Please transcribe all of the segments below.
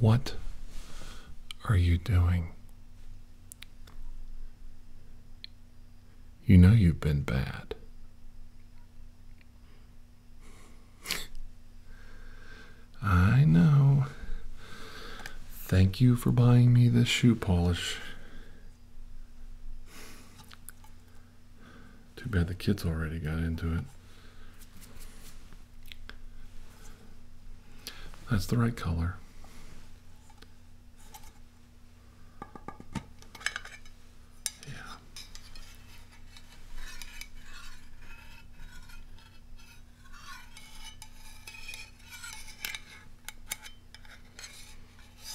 What are you doing? You know you've been bad. I know. Thank you for buying me this shoe polish. Too bad the kids already got into it. That's the right color. Yeah.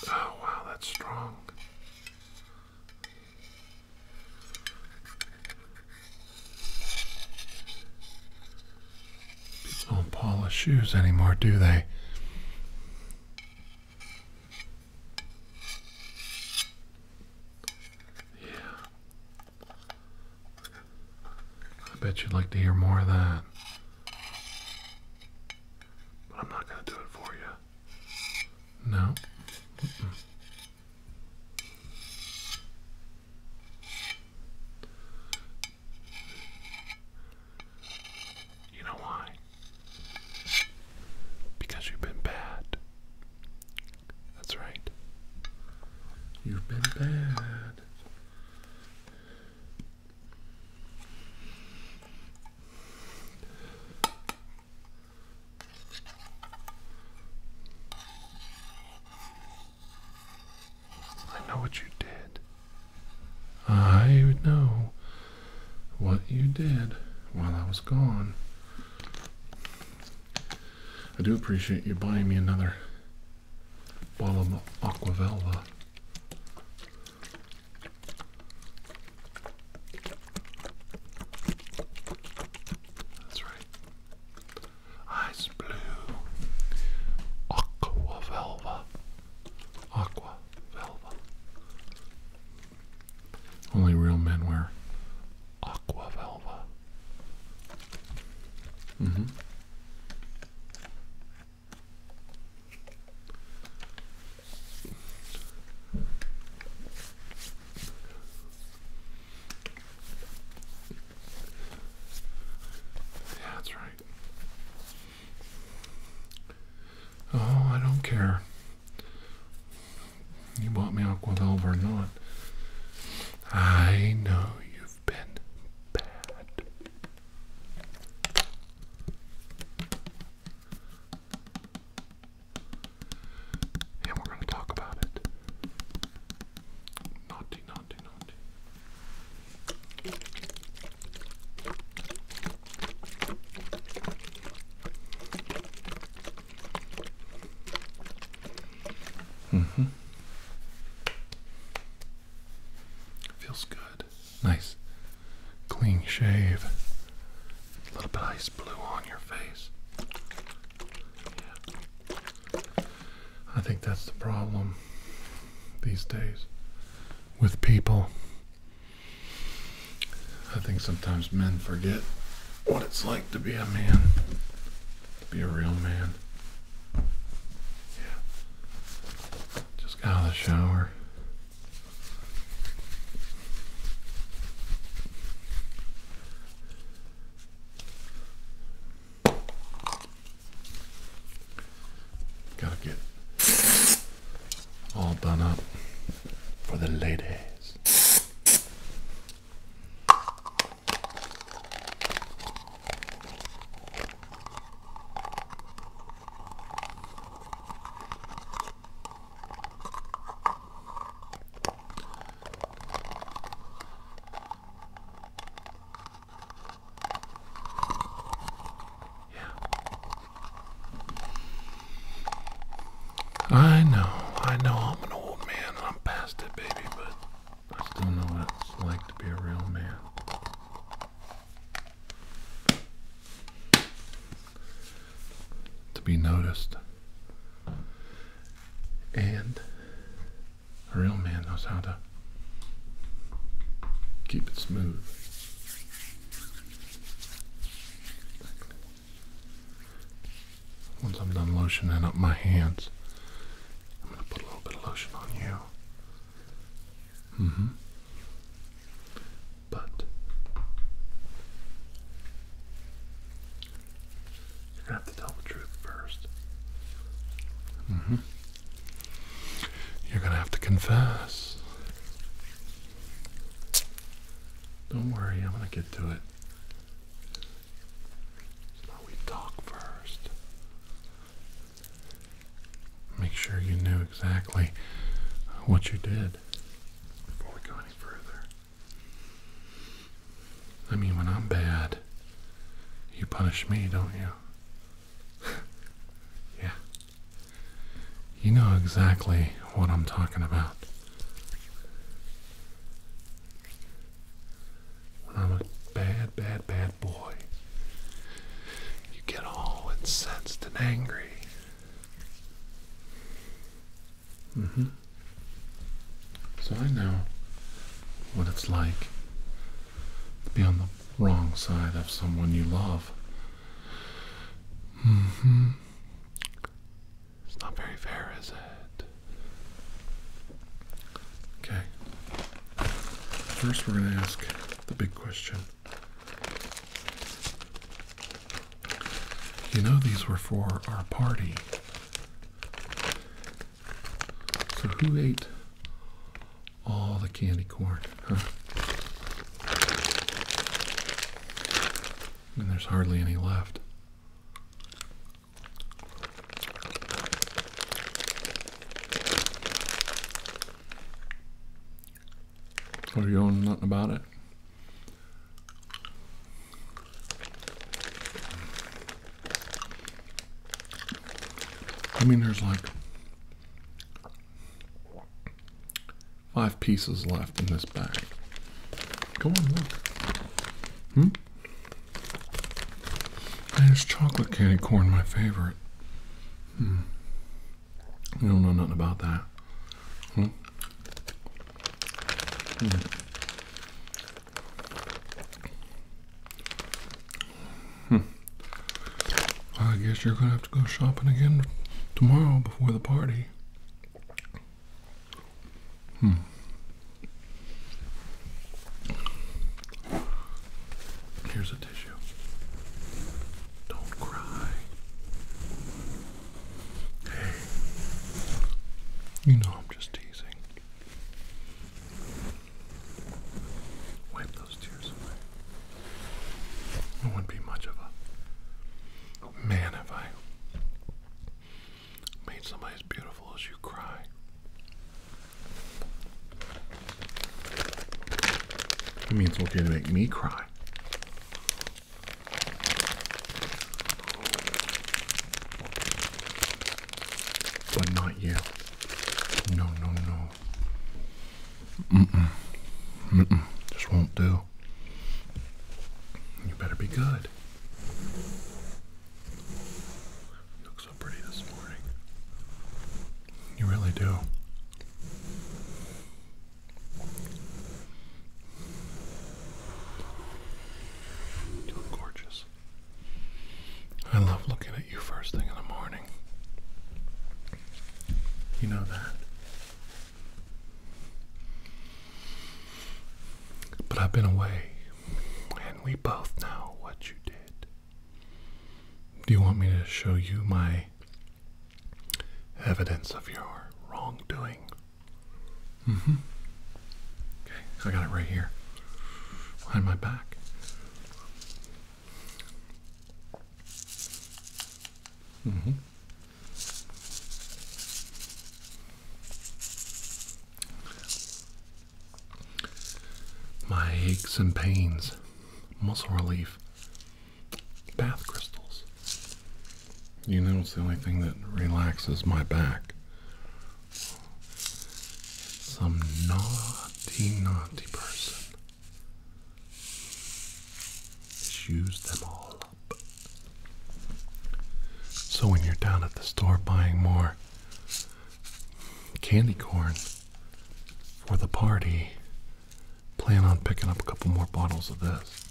Oh, wow, that's strong. People don't polish shoes anymore, do they? Yeah. I bet you'd like to hear more of that. But I'm not going to do it for you. No. You know why? Because you've been bad. That's right. You've been bad. I know what you did. I know what you did while I was gone. I do appreciate you buying me another while I'm Aquavelva. That's right. Ice blue. Aqua velva. Only real men wear aqua velva. Mm-hmm that's right. Oh, I don't care. You bought me Aquavelve or not. I know you've been bad. And we're going to talk about it. Naughty, naughty, naughty. Mm-hmm. Feels good. Nice clean shave. A little bit ice blue on your face. I think that's the problem these days with people. I think sometimes men forget what it's like to be a man, to be a real man. Yeah. Just got out of the shower. Gotta get all done up for the ladies. I know, I know I'm an old man I'm past it, baby, but I still know what it's like to be a real man. To be noticed. And a real man knows how to keep it smooth. Once I'm done lotioning up my hands, I'm going to put a little bit of lotion on you. Mm-hmm. But you're gonna have to tell the truth first. Mm-hmm. You're gonna have to confess. Don't worry, I'm gonna get to it. So we talk first make sure you knew exactly what you did before we go any further. I mean, when I'm bad, you punish me, don't you? yeah. You know exactly what I'm talking about. I'm a bad, bad, bad boy. You get all incensed and angry. Mm-hmm. So I know what it's like to be on the wrong side of someone you love. Mm-hmm. It's not very fair, is it? Okay. First, we're going to ask the big question. You know, these were for our party. So, who ate all the candy corn? Huh? And there's hardly any left are you on nothing about it? I mean, there's like five pieces left in this bag. Go on, look. Hmm? There's chocolate candy corn, my favorite. I hmm. don't know nothing about that. Hmm. Hmm. I guess you're gonna have to go shopping again tomorrow before the party. Here's a tissue. Don't cry. Hey, you know I'm just teasing. Wipe those tears away. It wouldn't be much of a man if I made somebody as beautiful as you cry. It means it's okay to make me cry. But not yet. No, no, no. Mm-mm. Mm-mm. Just won't do. You better be good so pretty this morning. You really do. You look gorgeous. I love looking at you first thing in the morning. You know that. But I've been away, and we both know what you did. Do you want me to show you my evidence of your wrongdoing? Mm hmm. Okay, I got it right here. Behind my back. Mm hmm. My aches and pains muscle relief, bath crystals. You know, it's the only thing that relaxes my back. Some naughty, naughty person used them all up. So when you're down at the store buying more candy corn for the party. Plan on picking up a couple more bottles of this.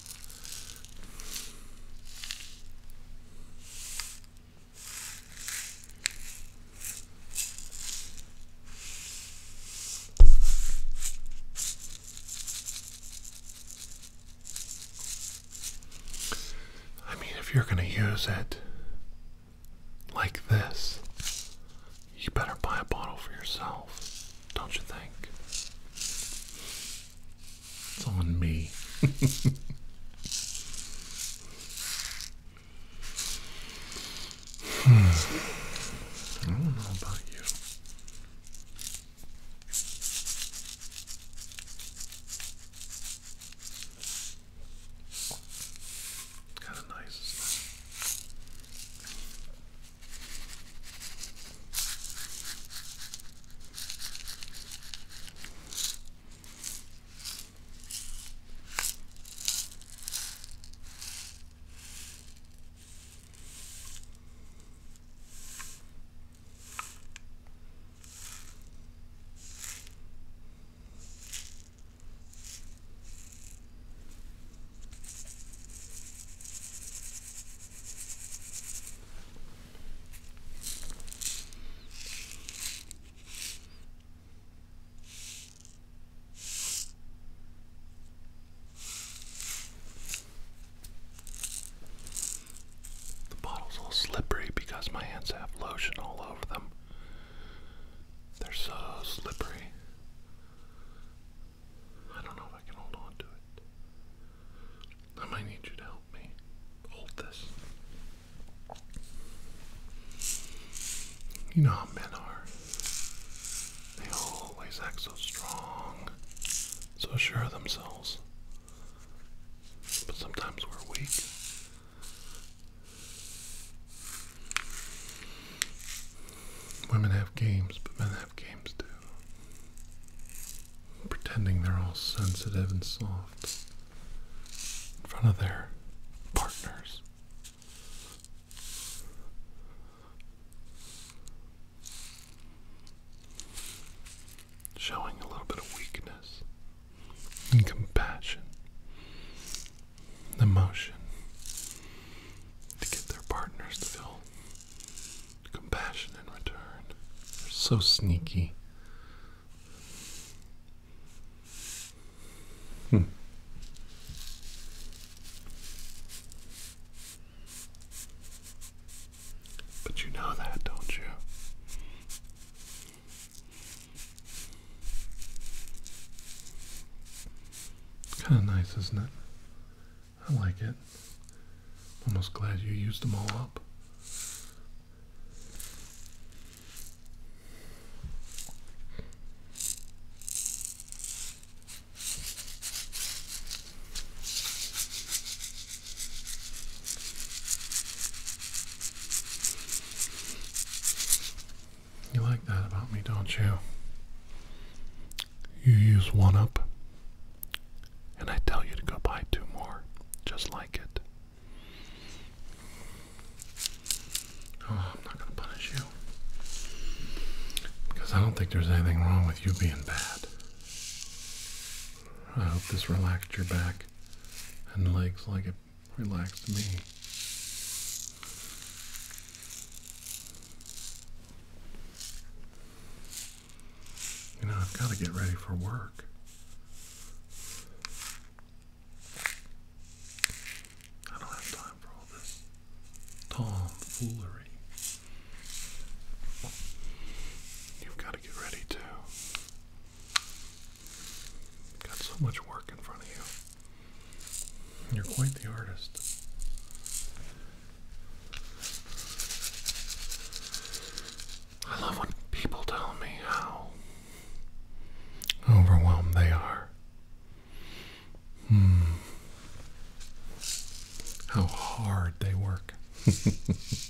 I mean, if you're going to use it, like this, you better buy a bottle for yourself, don't you think? It's on me. Hmm. I don't know about you. It's kind of nice, the bottle's a little slippery because my hands have lotion all over them. They're so slippery. I don't know if I can hold on to it. I might need you to help me hold this. You know how men are. They always act so strong, so sure of themselves. But sometimes we're weak. Women have games, but men have games too. Pretending they're all sensitive and soft in front of their partners. Showing a little bit of weakness and compassion the motion to get their partners to feel compassion in return. They're so sneaky. Hmm. But you know that, don't you? Kind of nice, isn't it? I like it. Almost glad you used them all up. You like that about me, don't you? You use one up, and I tell you to go buy two more, just like it. Oh, I'm not going to punish you. Because I don't think there's anything wrong with you being bad. I hope this relaxed your back and legs like it relaxed me. You know, I've got to get ready for work. I don't have time for all this tomfoolery. You've got to get ready too. Got so much work in front of you. You're quite the artist. I love when people tell me how overwhelmed they are. Hmm. How hard they work.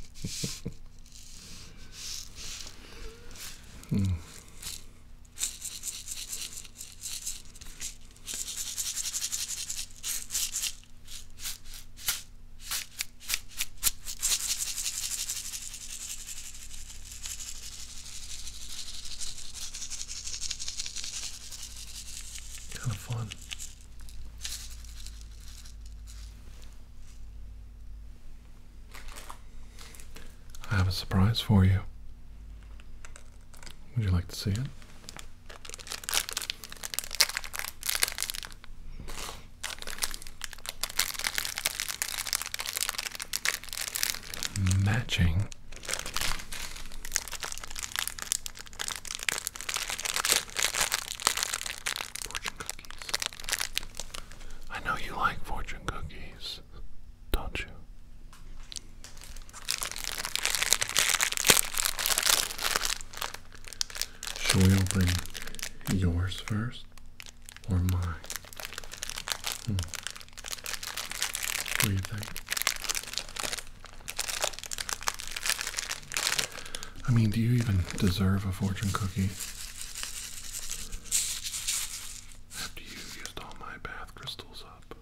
Hmm. Kind of fun. I have a surprise for you. Would you like to see it? Matching fortune cookies. I know you like fortune cookies don't you? Should we open yours first or mine? Hmm. What do you think? I mean, do you even deserve a fortune cookie? After you used all my bath crystals up.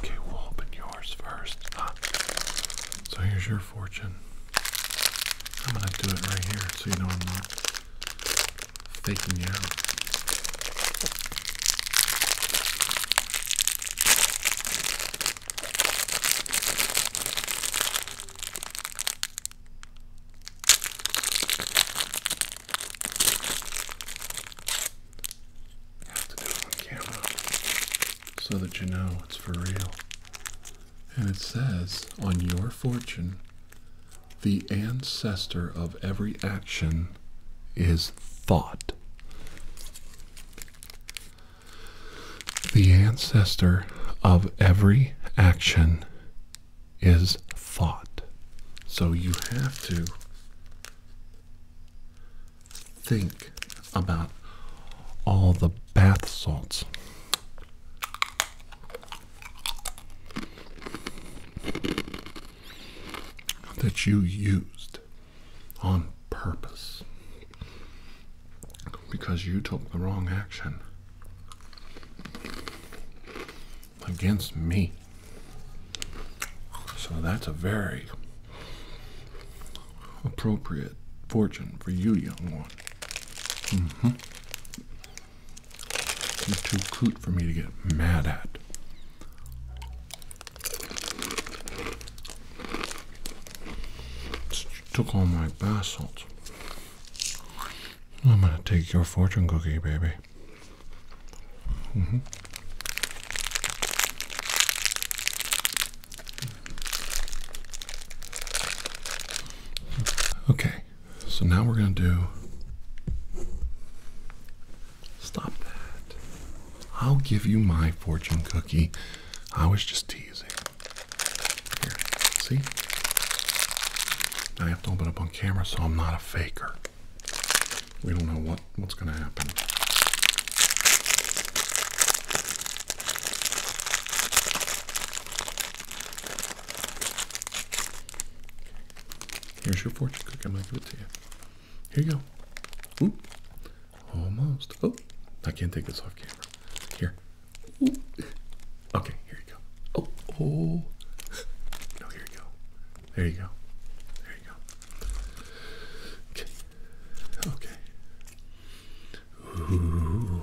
Okay, we'll open yours first. Ah. So here's your fortune. I'm gonna do it right here so you know I'm not faking you out. I have to do it on camera so that you know it's for real. And it says on your fortune, the ancestor of every action is thought. The ancestor of every action is thought. So you have to think about all the bath salts that you used on purpose because you took the wrong action against me. So that's a very appropriate fortune for you, young one. You're mm-hmm. too cute for me to get mad at. Took all my bath salts. I'm gonna take your fortune cookie, baby. Mm-hmm. Okay, so now we're going to do. Stop that. I'll give you my fortune cookie. I was just teasing. Here, see? I have to open up on camera so I'm not a faker. We don't know what, what's going to happen. Here's your fortune cookie. I'm gonna give it to you. Here you go. Ooh, almost. Oh, I can't take this off camera. Here. Ooh. Okay, here you go. Oh, oh. No, here you go. There you go. There you go. Okay. Okay. Ooh.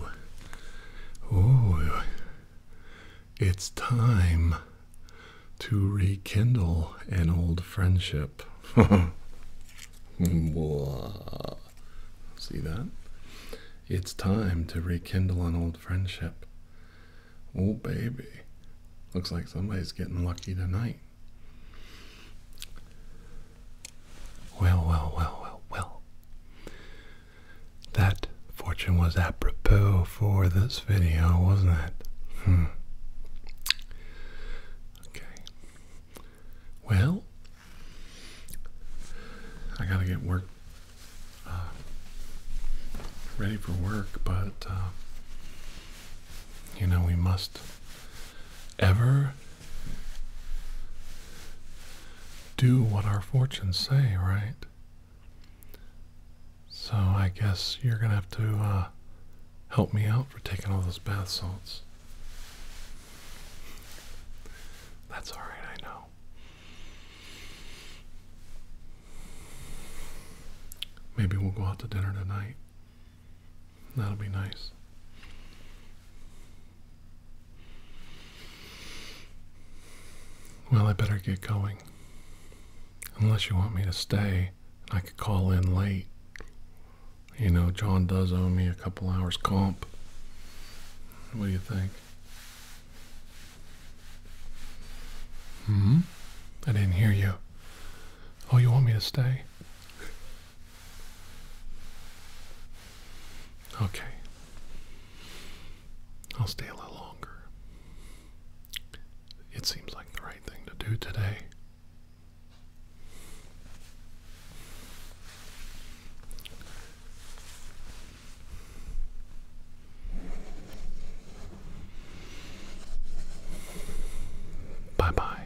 Oh, it's time to rekindle an old friendship. See that? It's time to rekindle an old friendship. Oh, baby. Looks like somebody's getting lucky tonight. Well, well, well, well, well. That fortune was apropos for this video, wasn't it? Hmm. Okay. Well, I gotta get work uh, ready for work, but uh, you know we must ever do what our fortunes say, right? So I guess you're going to have to uh, help me out for taking all those bath salts. That's all right, I know. Maybe we'll go out to dinner tonight. That'll be nice. Well, I better get going. Unless you want me to stay, I could call in late. You know, John does owe me a couple hours comp. What do you think? Hmm? I didn't hear you. Oh, you want me to stay? Okay. I'll stay a little longer. It seems like the right thing to do today. Bye bye.